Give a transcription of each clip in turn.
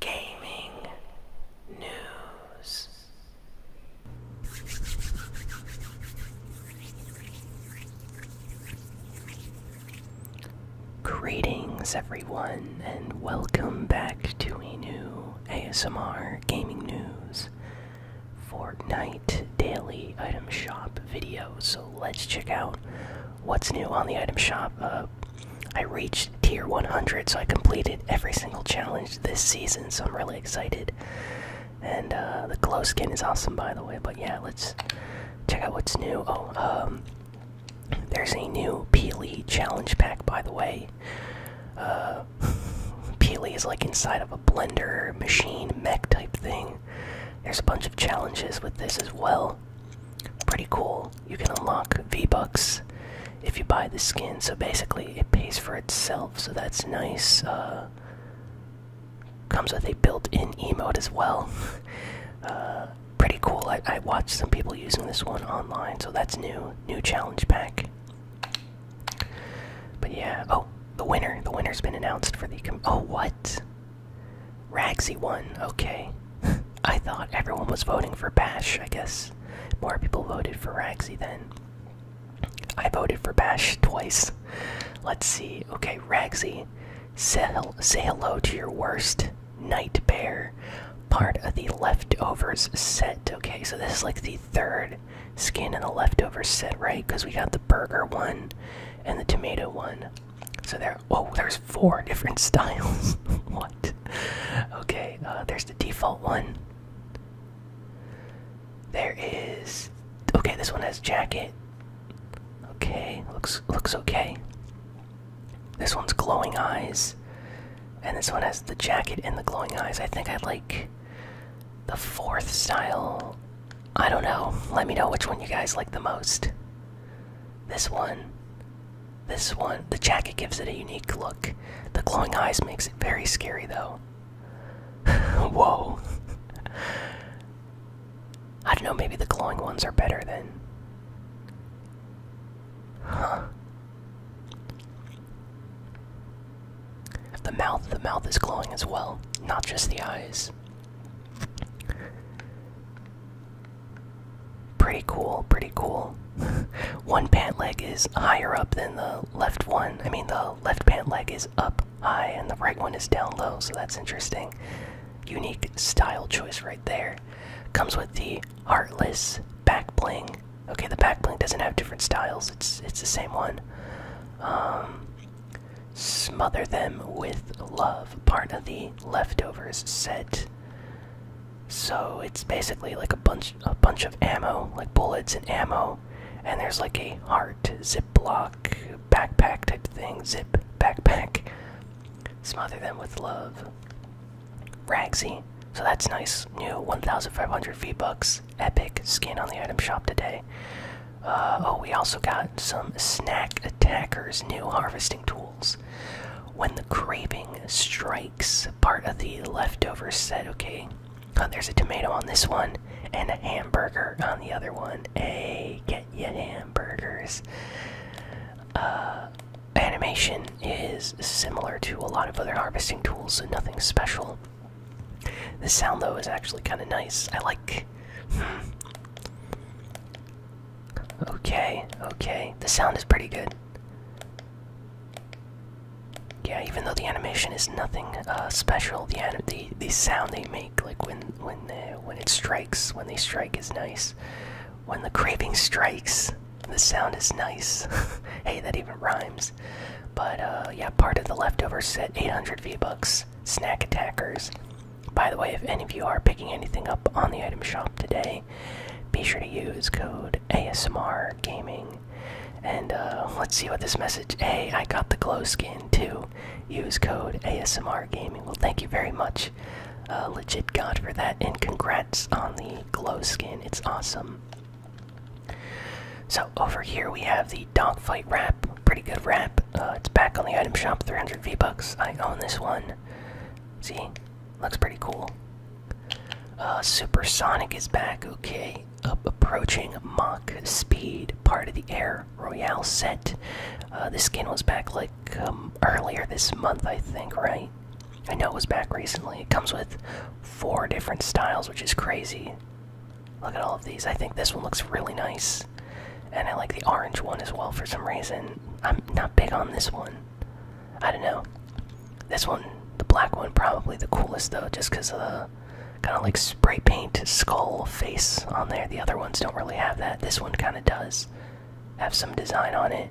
gaming news. Greetings, everyone, and welcome back to a new ASMR Gaming News Fortnite Daily Item Shop video. So let's check out what's new on the item shop. Uh, I reached tier 100, so I completed every single challenge this season, so I'm really excited. And uh, the glow skin is awesome, by the way. But yeah, let's check out what's new. Oh, um, there's a new Peely challenge pack, by the way. Uh, Peely is like inside of a blender machine mech type thing. There's a bunch of challenges with this as well. Pretty cool you can unlock V-Bucks if you buy the skin. So basically, it pays for itself, so that's nice. Uh, comes with a built-in emote as well. Uh, pretty cool. I, watched some people using this one online, so that's new. New challenge pack. But yeah, oh, the winner. The winner's been announced for the. oh, what? Ragsy won. Okay. I thought everyone was voting for Bash. I guess more people voted for Ragsy then. I voted for Bash twice. Let's see. Okay, Ragsy, say, say hello to your worst nightmare. Part of the leftovers set. Okay, so this is like the third skin in the leftovers set, right? Because we got the burger one and the tomato one. So there. Oh, there's four different styles. wow. Okay, uh, there's the default one. There is. Okay, this one has jacket. Okay, looks looks okay. This one's glowing eyes, and this one has the jacket and the glowing eyes. I think I like the fourth style. I don't know. Let me know which one you guys like the most. This one, this one, the jacket gives it a unique look. The glowing eyes makes it very scary though. Whoa. I don't know, maybe the glowing ones are better then. Huh. The mouth, the mouth is glowing as well, not just the eyes. Pretty cool, pretty cool. one pant leg is higher up than the left one. I mean, the left pant leg is up high and the right one is down low, so that's interesting. Unique style choice right there. Comes with the Heartless back bling. Okay, the back bling doesn't have different styles, it's, it's the same one. Um, smother them with love, part of the leftovers set. So it's basically like a bunch a bunch of ammo, like bullets and ammo, and there's like a heart ziplock backpack type thing, zip backpack. Smother them with love. Ragsy. So that's nice. New 1,500 V-Bucks. Epic skin on the item shop today. Uh, oh, we also got some Snack Attacker's new harvesting tools. When the craving strikes, part of the leftover set. Okay, there's a tomato on this one and a hamburger on the other one. Hey, get your hamburgers. Uh, animation is similar to a lot of other harvesting tools, so nothing special. The sound though is actually kind of nice. I like. Hmm. Okay, okay. The sound is pretty good. Yeah, even though the animation is nothing uh, special, the, the the sound they make, like when when when it strikes, when they strike, is nice. When the craving strikes, the sound is nice. hey, that even rhymes. But uh, yeah, part of the leftover set, 800 V bucks. Snack attackers. By the way, if any of you are picking anything up on the item shop today, be sure to use code ASMR Gaming. And uh, let's see what this message. Hey, I got the glow skin too. Use code ASMR Gaming. Well, thank you very much, uh, Legit God, for that. And congrats on the glow skin. It's awesome. So, over here we have the dog fight Wrap. Pretty good wrap. Uh, it's back on the item shop, 300 V-Bucks. I own this one. See? Looks pretty cool. Uh, Supersonic is back. Okay, approaching Mach Speed, part of the Air Royale set. Uh, this skin was back like um, earlier this month, I think, right? I know it was back recently. It comes with four different styles, which is crazy. Look at all of these. I think this one looks really nice. And I like the orange one as well for some reason. I'm not big on this one. I don't know. This one, the black one, probably the coolest though, just because of the uh, kind of like spray paint skull face on there. The other ones don't really have that. This one kind of does have some design on it.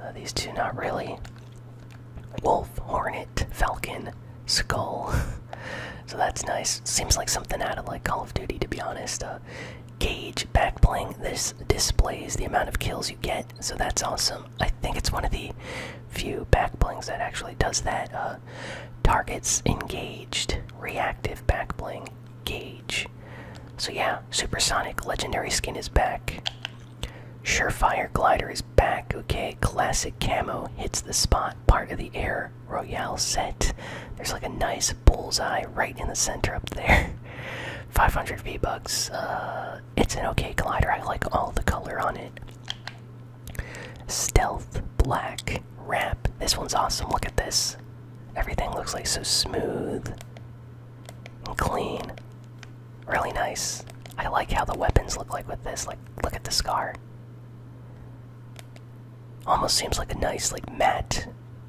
Uh, these two, not really. Wolf, Hornet, Falcon, Skull. so that's nice. Seems like something out of like Call of Duty, to be honest. Uh, gauge back bling. This displays the amount of kills you get, so that's awesome. I think it's one of the few backblings that actually does that. Uh, targets engaged, reactive backbling gauge. So yeah, supersonic legendary skin is back. Surefire glider is back. Okay, classic camo hits the spot. Part of the air royale set. There's like a nice bullseye right in the center up there. 500 V bucks. Uh, it's an okay glider. I like all the color on it. Stealth, black, wrap. This one's awesome. Look at this. Everything looks like so smooth and clean. Really nice. I like how the weapons look like with this. Like, look at the scar. Almost seems like a nice, like, matte,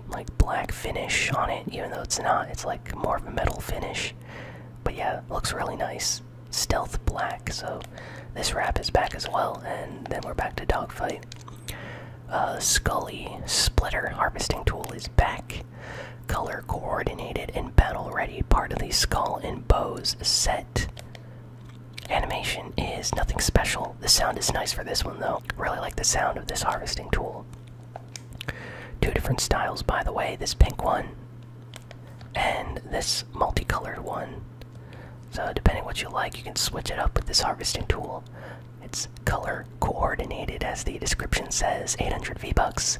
like, black finish on it, even though it's not. It's like more of a metal finish. But yeah, looks really nice. Stealth black, so this wrap is back as well, and then we're back to dogfight. Uh, Scully Splitter Harvesting Tool is back. Color coordinated and battle ready, part of the Skull and Bows set. Animation is nothing special. The sound is nice for this one though. Really like the sound of this harvesting tool. Two different styles, by the way this pink one and this multicolored one. So, depending what you like, you can switch it up with this harvesting tool. It's color coordinated, as the description says 800 V bucks.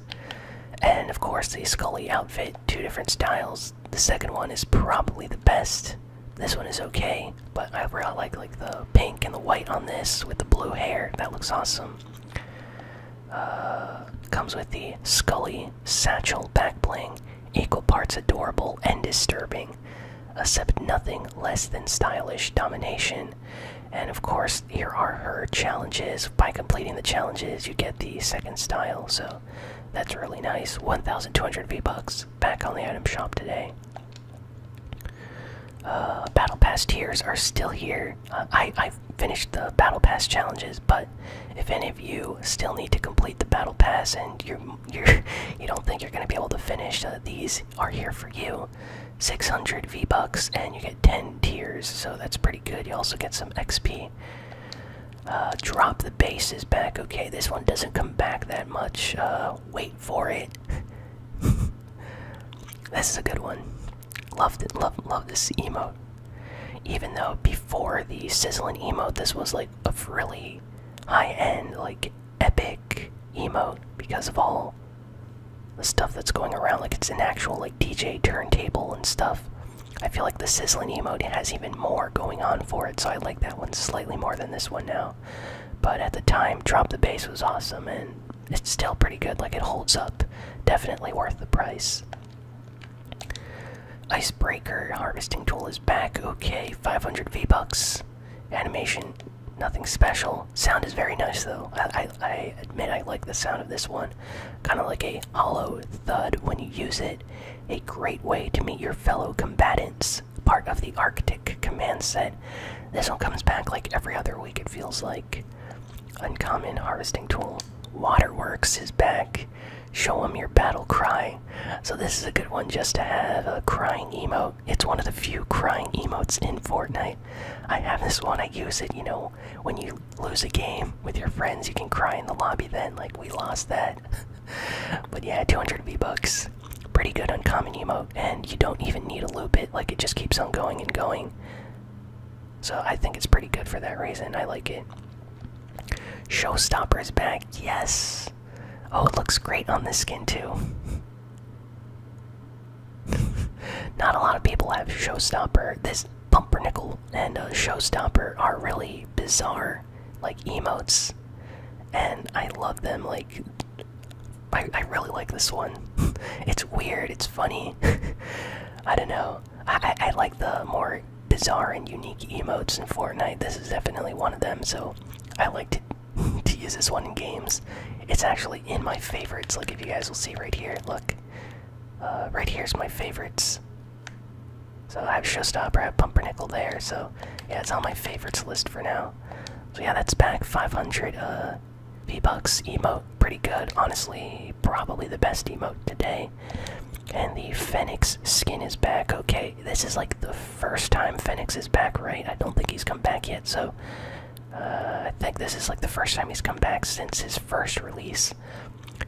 And of course, the Scully outfit, two different styles. The second one is probably the best. This one is okay, but I really like like the pink and the white on this with the blue hair. That looks awesome. Uh, comes with the Scully satchel back equal parts adorable and disturbing, Accept nothing less than stylish domination. And of course, here are her challenges. By completing the challenges, you get the second style, so that's really nice. 1,200 V bucks back on the item shop today. Uh, battle Pass tiers are still here. I I finished the battle pass challenges, but if any of you still need to complete the battle pass and you're you're you don't think you're gonna be able to finish, uh, these are here for you. 600 V bucks, and you get 10 tiers, so that's pretty good. You also get some XP. Uh, drop the bases back. Okay, this one doesn't come back that much. Uh, wait for it. this is a good one. Loved it. Love, love this emote. Even though before the sizzling emote, this was like a really high-end, like epic emote because of all the stuff that's going around. Like it's an actual like DJ turntable and stuff. I feel like the sizzling emote has even more going on for it, so I like that one slightly more than this one now. But at the time, drop the bass was awesome, and it's still pretty good. Like it holds up. Definitely worth the price. Icebreaker harvesting tool is back. Okay, 500 V bucks. Animation, nothing special. Sound is very nice though. I, I admit I like the sound of this one. Kind of like a hollow thud when you use it. A great way to meet your fellow combatants. Part of the Arctic command set. This one comes back like every other week, it feels like uncommon harvesting tool. Waterworks is back. Show them your battle cry. So this is a good one just to have a crying emote. It's one of the few crying emotes in Fortnite. I have this one. I use it. You know, when you lose a game with your friends, you can cry in the lobby. Then, like we lost that. but yeah, 200 V bucks. Pretty good uncommon emote, and you don't even need to loop it. Like it just keeps on going and going. So I think it's pretty good for that reason. I like it. Showstopper is back. Yes. Oh, it looks great on this skin too. Not a lot of people have Showstopper. This bumper nickel and uh, Showstopper are really bizarre, like emotes, and I love them. Like, I I really like this one. it's weird. It's funny. I don't know. I, I like the more bizarre and unique emotes in Fortnite. This is definitely one of them, so I like to, to use this one in games. It's actually in my favorites. Like, if you guys will see right here, look. Uh, right here's my favorites. So I have Showstopper, I have Pumpernickel there, so yeah, it's on my favorites list for now. So yeah, that's back 500. Uh, V-Bucks emote, pretty good, honestly. Probably the best emote today. And the Phoenix skin is back. Okay, this is like the first time Phoenix is back, right? I don't think he's come back yet, so uh, I think this is like the first time he's come back since his first release.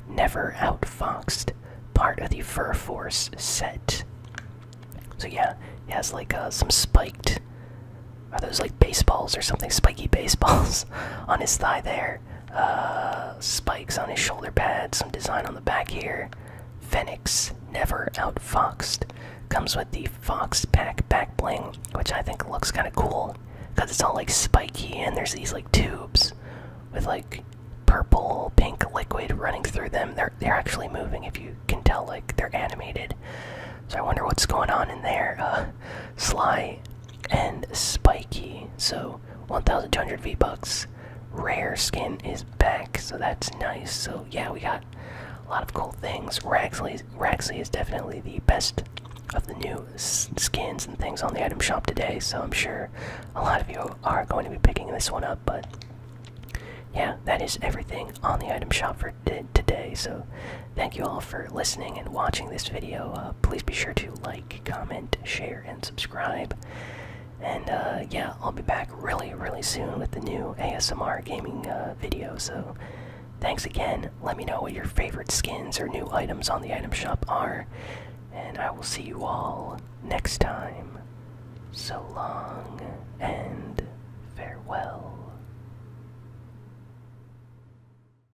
Never Outfoxed, part of the Fur Force set. So yeah, he has like uh, some spiked. Are those like baseballs or something? Spiky baseballs on his thigh there. Uh, spikes on his shoulder pads, some design on the back here. Phoenix, never outfoxed. Comes with the Fox Pack back bling, which I think looks kind of cool because it's all like spiky and there's these like tubes with like purple, pink liquid running through them. They're they're actually moving if you can tell, like they're animated. So I wonder what's going on in there. Uh, Sly and spiky so 1200 v bucks rare skin is back so that's nice so yeah we got a lot of cool things raxley raxley is definitely the best of the new skins and things on the item shop today so i'm sure a lot of you are going to be picking this one up but yeah that is everything on the item shop for today so Thank you all for listening and watching this video. Uh, please be sure to like, comment, share, and subscribe. And uh, yeah, I'll be back really, really soon with the new ASMR gaming uh, video. So thanks again. Let me know what your favorite skins or new items on the item shop are. And I will see you all next time. So long and farewell.